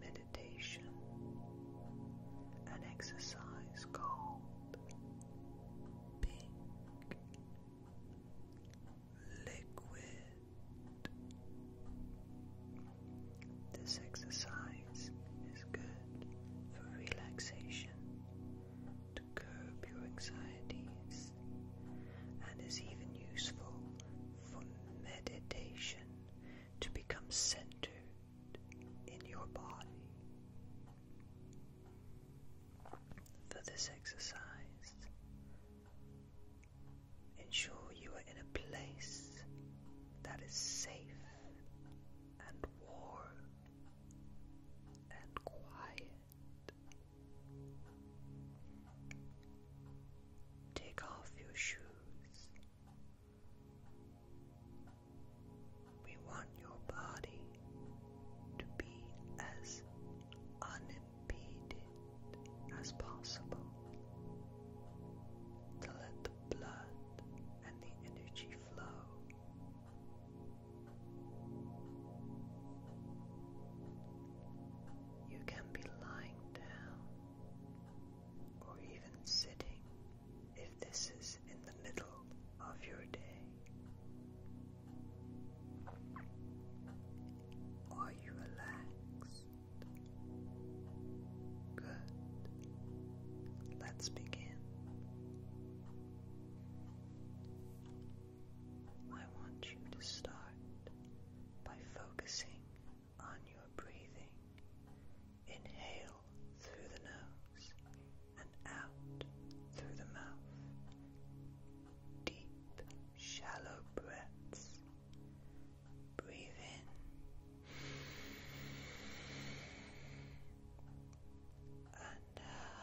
meditation, an exercise called pink liquid. This exercise is good for relaxation, to curb your anxieties, and is even useful for meditation to become centered in your body. For this exercise, ensure you are in a place that is safe and warm and quiet. Take off your shoes. We want your body to be as unimpeded as possible to let the blood and the energy flow. You can be lying down or even sitting if this is in the middle of your day. Are you relaxed? Good. Let's begin. I want you to start by focusing on your breathing. Inhale through the nose and out through the mouth. Deep, shallow breaths. Breathe in. And out.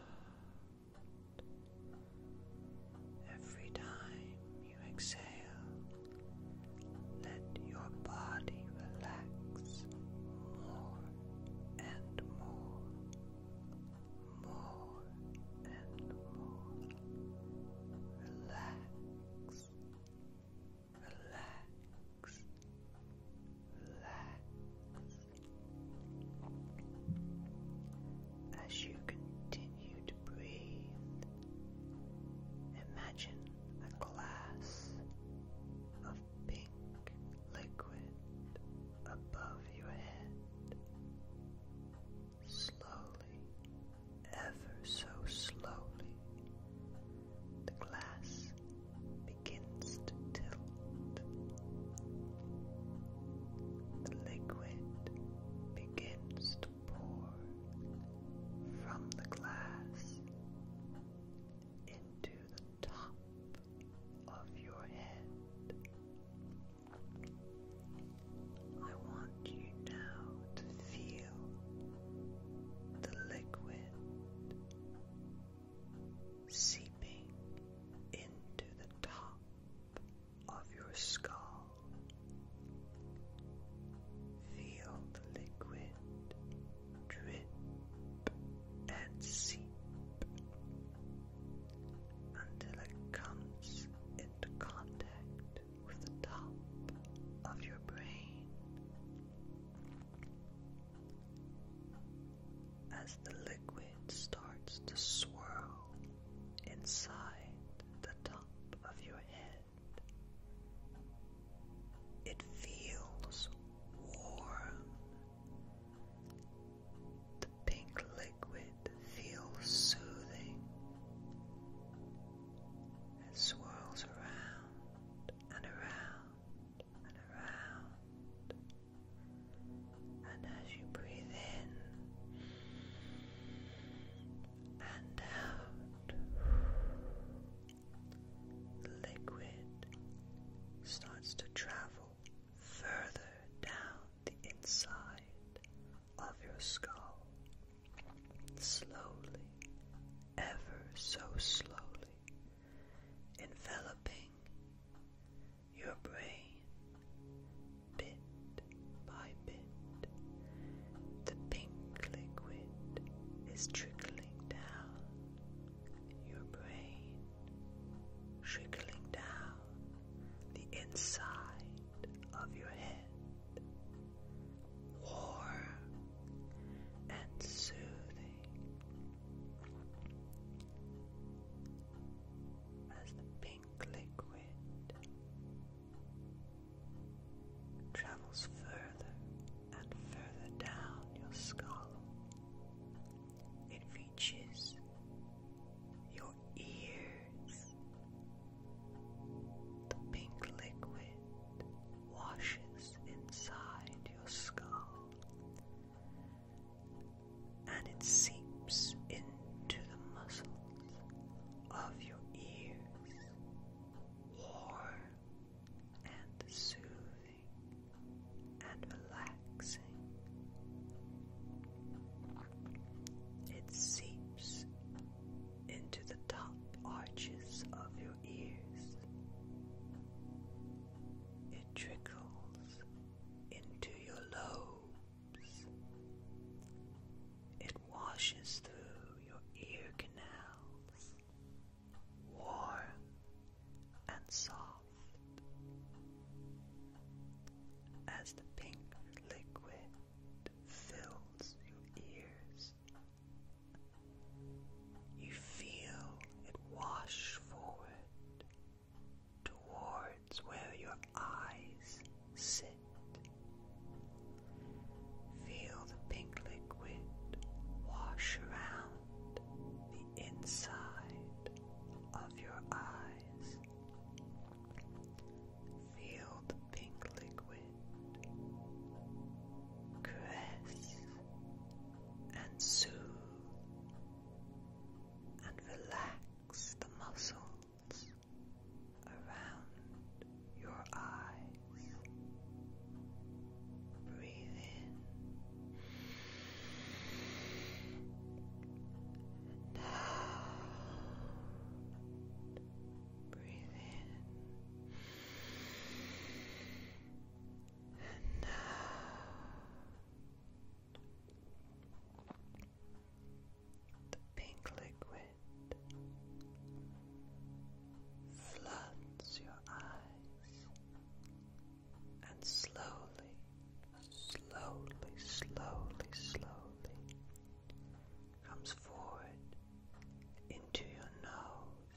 Every time you exhale, let your body relax more and more, more and more. Relax, relax, as you continue to breathe, imagine a glass of pink liquid above your head. Slowly, ever so slowly, the glass begins to tilt. The liquid begins to pour from the glass into the top of your head. I want you now to feel the liquid seeping into the top of your skull. Feel the liquid drip and seep until it comes into contact with the top of your brain as the liquid starts to swirl inside the top of your head. It feels warm. The pink liquid feels soothing. It swirls around and around and around. And as you breathe in and out, the liquid starts to travel further down the inside of your skull. Slowly, ever so slowly, enveloping your brain bit by bit. The pink liquid is trickling down your brain, trickling down the inside of your head. Warm and soothing as the pink liquid travels further and further down your skull. It reaches your ears. The pink liquid washes inside your skull and it seeps into the muscles of your ears, warm and soothing and relaxing. It seeps into the top arches of your ears it trickles into your lobes, it washes through your ear canals, warm and soft, as the pink liquid fills your ears. You feel it wash forward towards where your eyes sit. Feel the pink liquid wash around the inside of your eyes. Feel the pink liquid caress and soothe and relax the muscles around your eyes. Breathe in and Breathe in and out. The pink liquid floods your eyes and slowly, slowly, slowly, slowly comes forward into your nose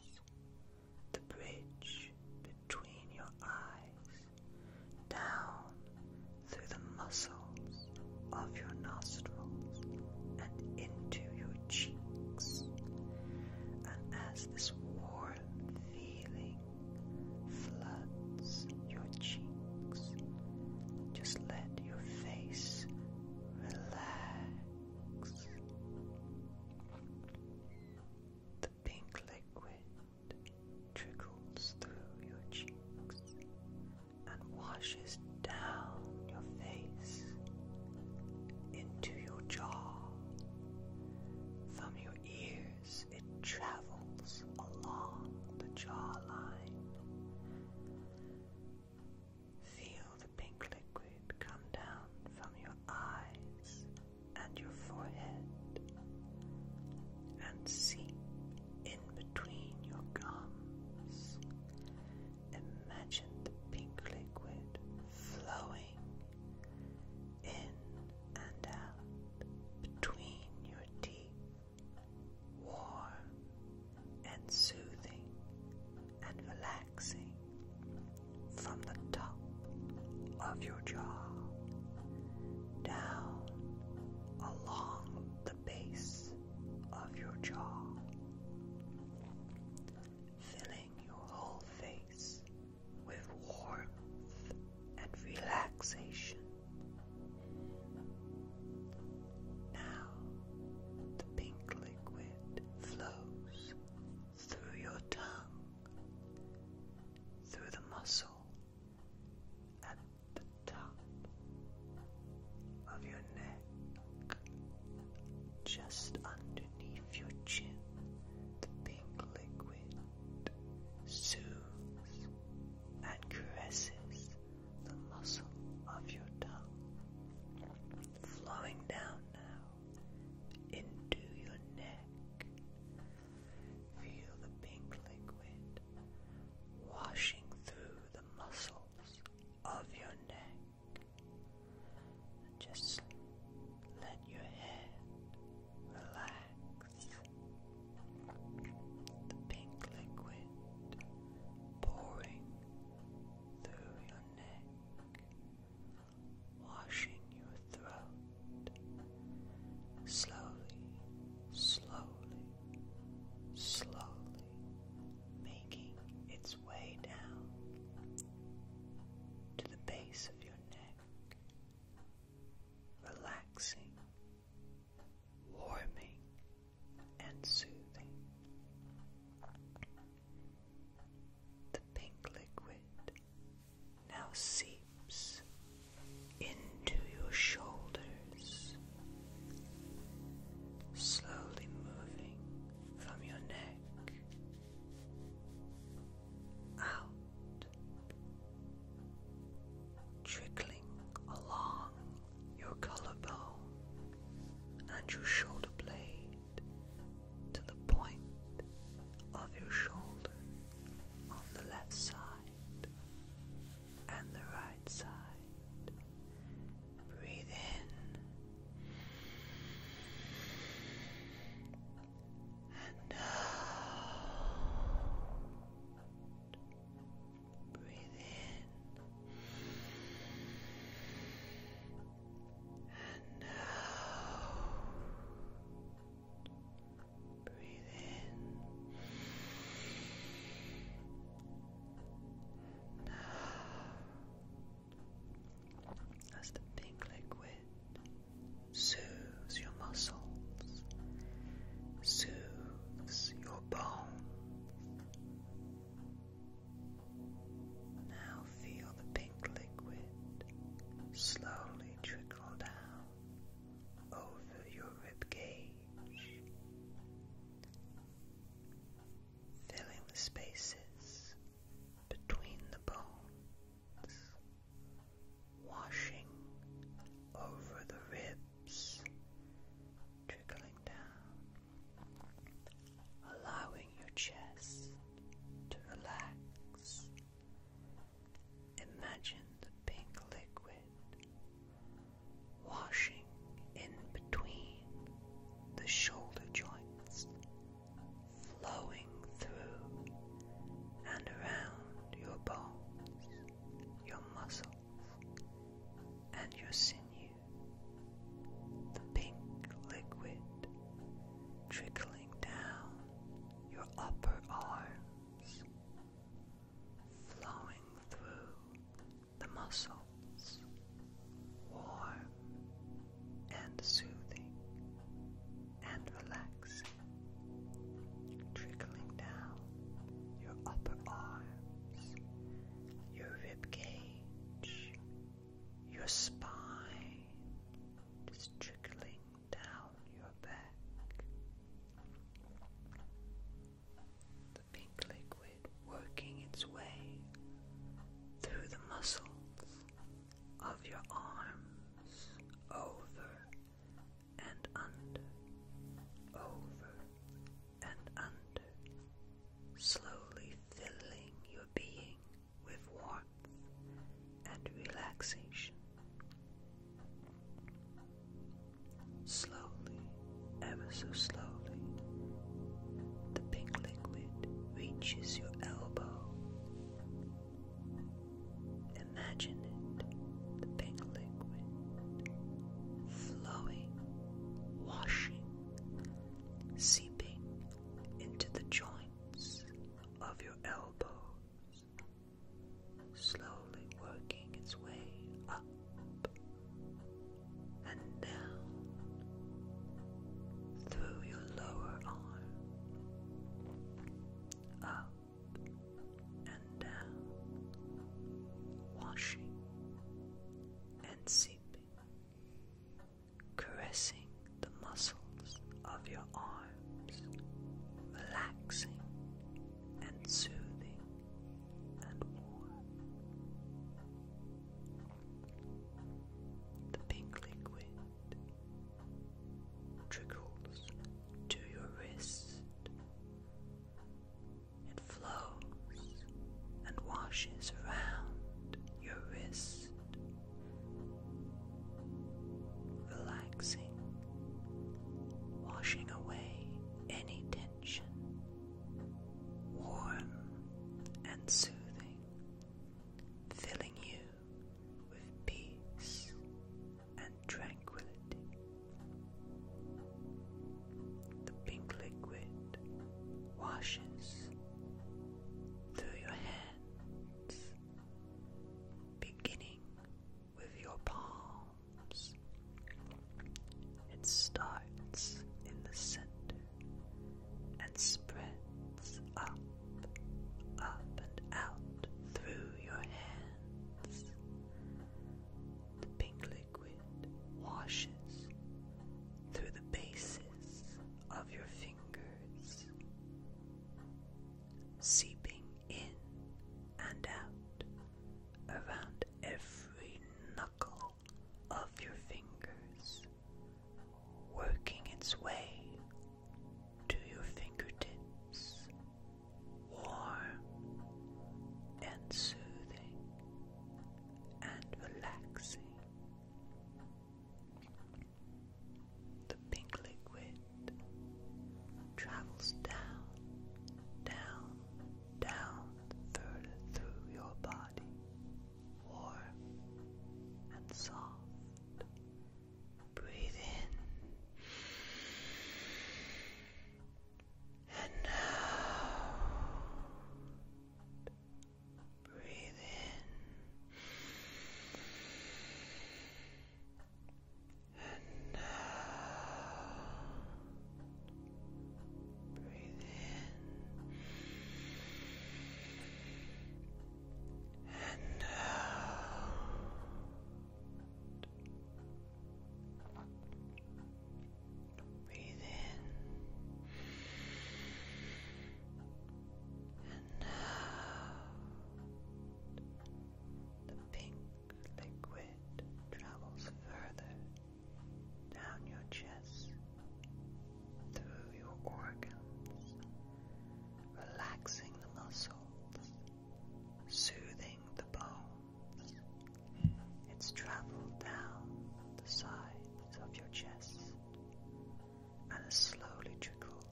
the bridge between your eyes, down through the muscles of your nostrils and into your cheeks. And as this warm feeling floods your cheeks, just let your face relax. The pink liquid trickles through your cheeks and washes down your face into your jaw. From your ears, it travels along the jawline Feel the pink liquid come down from your eyes and your forehead and seep in between your gums. Imagine the pink liquid flowing in and out between your teeth, warm and soothing and relaxing from the top of your jaw down along the base of your jaw, filling your whole face with warmth and relaxation. Now the pink liquid flows through your tongue, through the muscle at the top of your neck, just underneath your chin, the pink liquid soothes and caresses the muscle of your tongue, flowing down now into your neck. Feel the pink liquid washing through the muscles of your neck. Just let your head relax. The pink liquid pouring through your neck washing your throat slowly, slowly, slowly making its way down to the base of your neck, relaxing, warming, and soothing. The pink liquid now seeps into your shoulders, slowly moving from your neck out, trickling along your collarbone and your shoulder blade to the point of your shoulder on the left side and the right side. Breathe in and out. Breathe in and now, breathe in. Now, as the pink liquid soothes your muscles, soothes your bones. Now feel the pink liquid slowly trickle down over your rib cage, filling the spaces between the bones, washing over the ribs, trickling down allowing your chest to relax. Imagine the pink liquid washing in between the shoulder joints, flowing through and around your bones, your muscles, and your sinews the pink liquid trickling down your upper arms, flowing through the muscles, warm and soothing and relaxing, trickling down your upper arms, your rib your spine, just trickling down your back. The pink liquid working its way through the muscles of your arms, over and under, over and under, slowly filling your being with warmth and relaxation. Slowly, ever so slowly, the pink liquid reaches your elbow. Imagine it, the pink liquid flowing, washing seeping into the joints of your elbows, slowly working its way up and down through your lower arm, up and down, washing and seeping caressing the muscles of your arms, relaxing and soothing and warm. The pink liquid trickles to your wrist, it flows and washes around your wrist, relaxing, washing away any tension, warm and soothing, filling you with peace and tranquility. The pink liquid washes through your hands, beginning with your palms. It starts in the center and spreads up, up, and out through your hands. The pink liquid washes through the bases of your fingers, seeping in and out around every knuckle of your fingers, working its way to your fingertips, warm and soothing and relaxing. The pink liquid travels down, down, down further through your body, warm and soft. Breathe in and now breathe in. And now breathe in. And now. Breathe in and out. The pink liquid travels further down your chest through your organs, relaxing the muscles, soothing the bone. It's traveled down the sides of your chest and has slowly trickled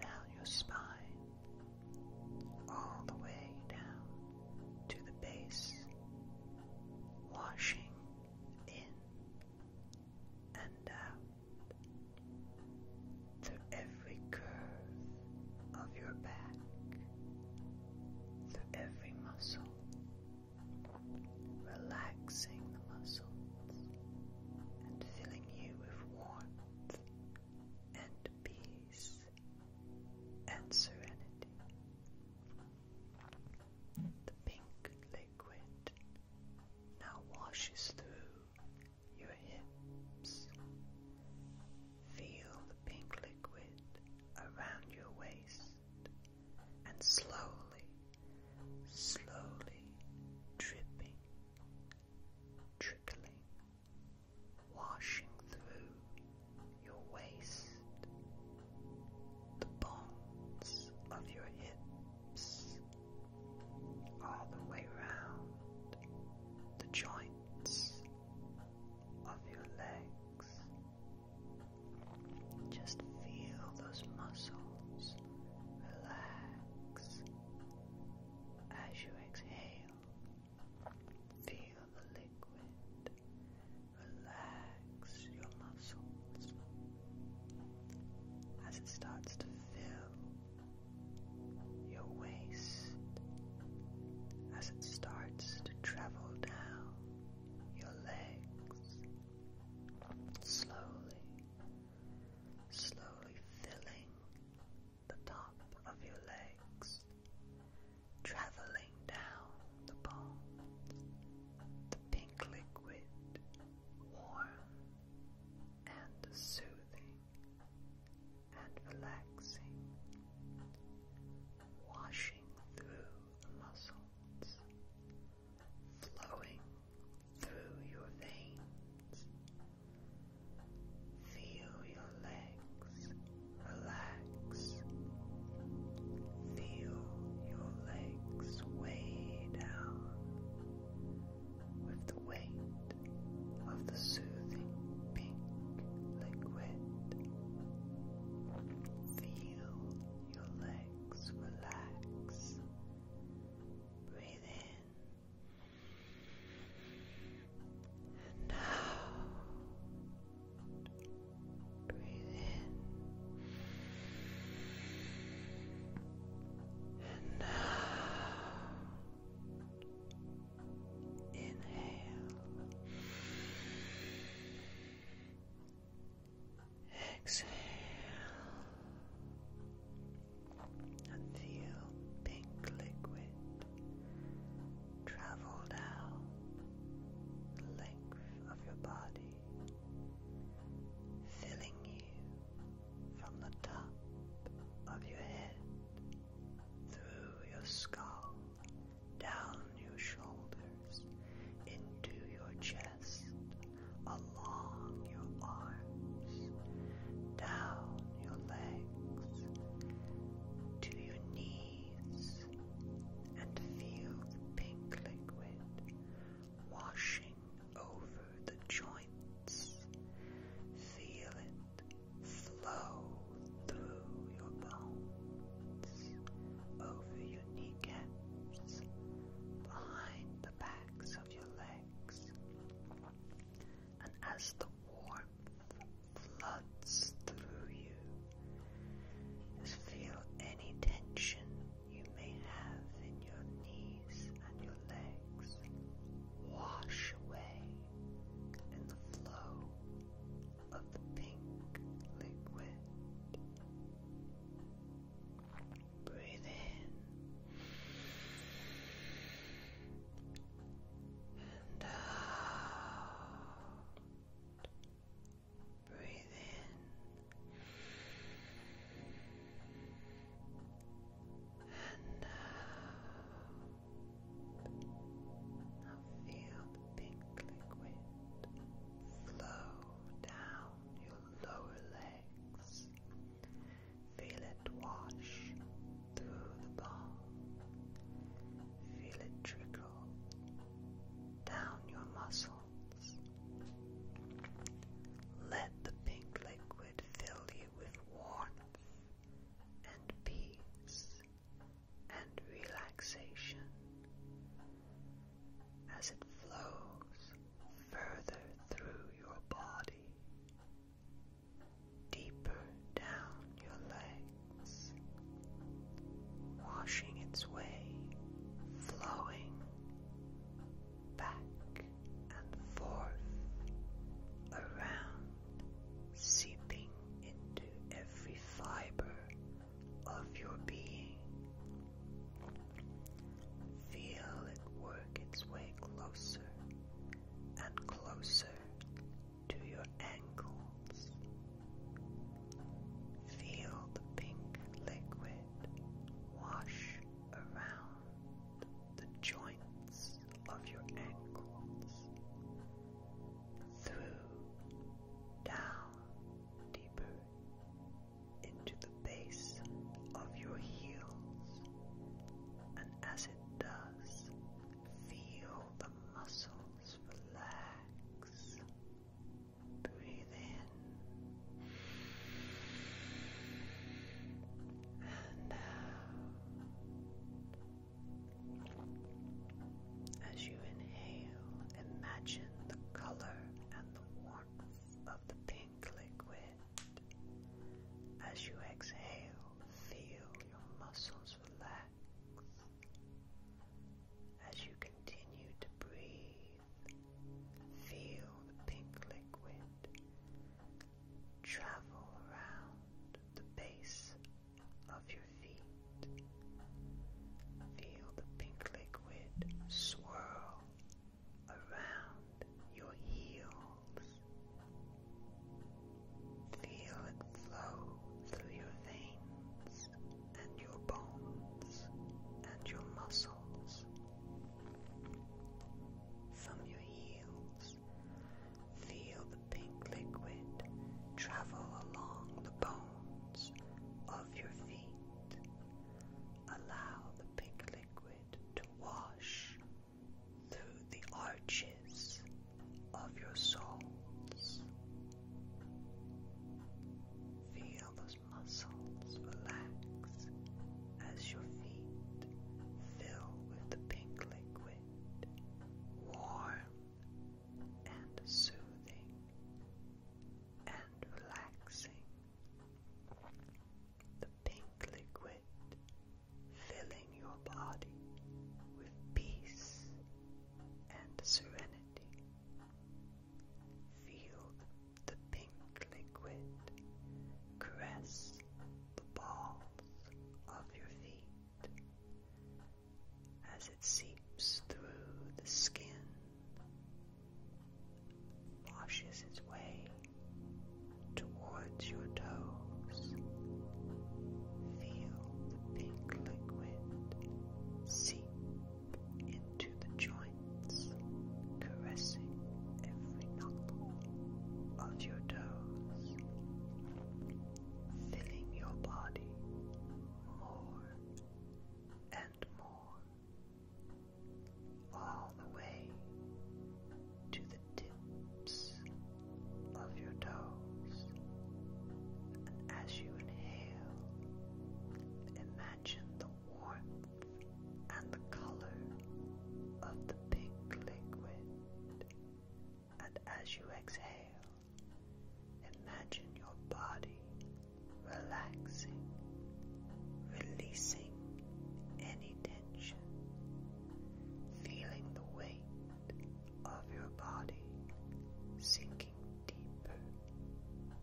down your spine, all the way down to the base, washing in and out through every curve of your back, through every muscle, relaxing the muscles and filling you with warmth and peace and serenity. The pink liquid now washes through your hips Feel the pink liquid around your waist and slowly, slowly dripping, trickling, washing through your waist, the bones of your hips, all the way round the joints of your legs just feel those muscles relax as you exhale. Feel the liquid relax your muscles as it starts to fill your waist, as it starts to travel down your legs, slowly, slowly filling the top of your legs, traveling down the bones, the pink liquid, warm and soothing and relaxing washing through the muscles, flowing through your veins. Feel your legs relax. Feel your legs way down with the weight of the soothing pink liquid. Feel your legs relax. Breathe in. And out. Breathe in. And out. Inhale. Exhale. And feel pink liquid travel down the length of your body, filling you from the top of your head through your skull down your shoulders, into your chest, along your arms, down your legs, to your knees, and feel the pink liquid washing over the joints. Feel it flow through your bones, over your knees, behind the backs of your legs, and as the warmth floods through you, feel any tension you may have in your knees and your legs wash away in the flow of pink liquid. Breathe in and out. Breathe in and out. Now feel the pink liquid flow down your lower legs. Feel it wash through the ball. Feel it trickle down your muscles. Let the pink liquid fill you with warmth and peace and relaxation as it flows further through your body, deeper down your legs, washing its way, flowing back and forth around, seeping into every fiber of your being. Feel it work its way closer and closer to your ankles. Feel the pink liquid wash around the joints of your ankles through, down, deeper into the base of your heels, and as it does, feel the muscles relax. Breathe in and out. As you inhale, imagine the color and the warmth of the pink liquid. As you exhale, feel your muscles relax. As you continue to breathe, feel the pink liquid travel around the base of your feet. Feel the pink liquid swirl around your heels. Feel it flow through your veins and your bones and your muscles. From your heels Feel the pink liquid travel along the bones of your feet. Allow the pink liquid to wash through the arches of your soles. Feel those muscles relax as your feet fill with the pink liquid warm and soothing and relaxing. The pink liquid filling your body with peace and serenity. Feel the pink liquid caress the balls of your feet as it seeps through the skin, washes its way towards your toes. Feel the pink liquid seep into the joints, caressing every knuckle of your toes filling your body more and more all the way to the tips of your toes. And as you inhale, imagine the warmth and the color of the pink liquid and as you exhale, imagine your body relaxing, releasing any tension, feeling the weight of your body sinking deeper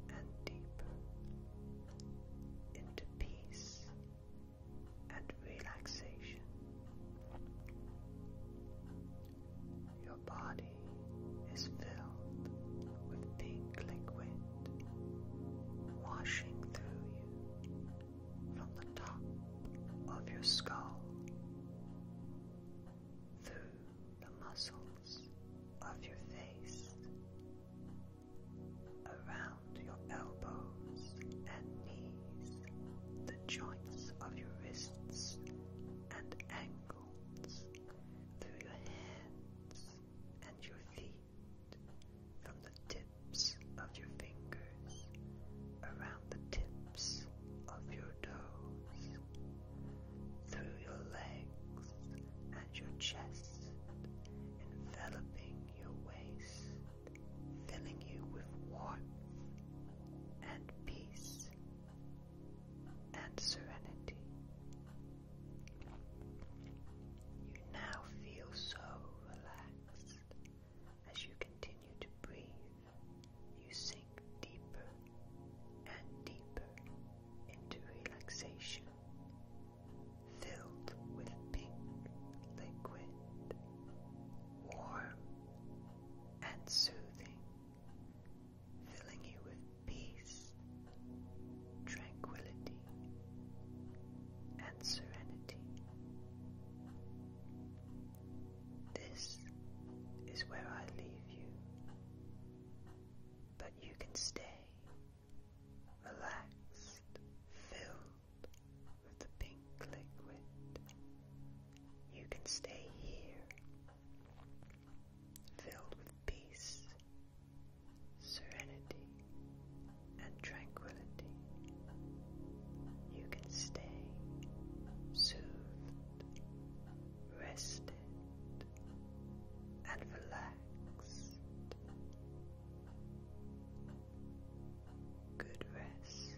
and deeper into peace and relaxation. Your body is filled with pink liquid washing through you from the top of your skull through the muscles of your face around your elbows and knees, the joints of your wrists and ankles, through your hands and your feet, from the tips of your fingers, around the tips of your toes, through your legs and your chest, enveloping your waist filling you with warmth and peace and serenity. You now feel so relaxed as you continue to breathe. You sink deeper and deeper into relaxation, filled with pink liquid warm and soothing, filling you with peace, tranquility, and serenity. This is where I leave you, but you can stay relaxed, filled with the pink liquid. You can stay here, filled with peace, serenity, and tranquility. You can stay soothed, rested, and relaxed Good rest.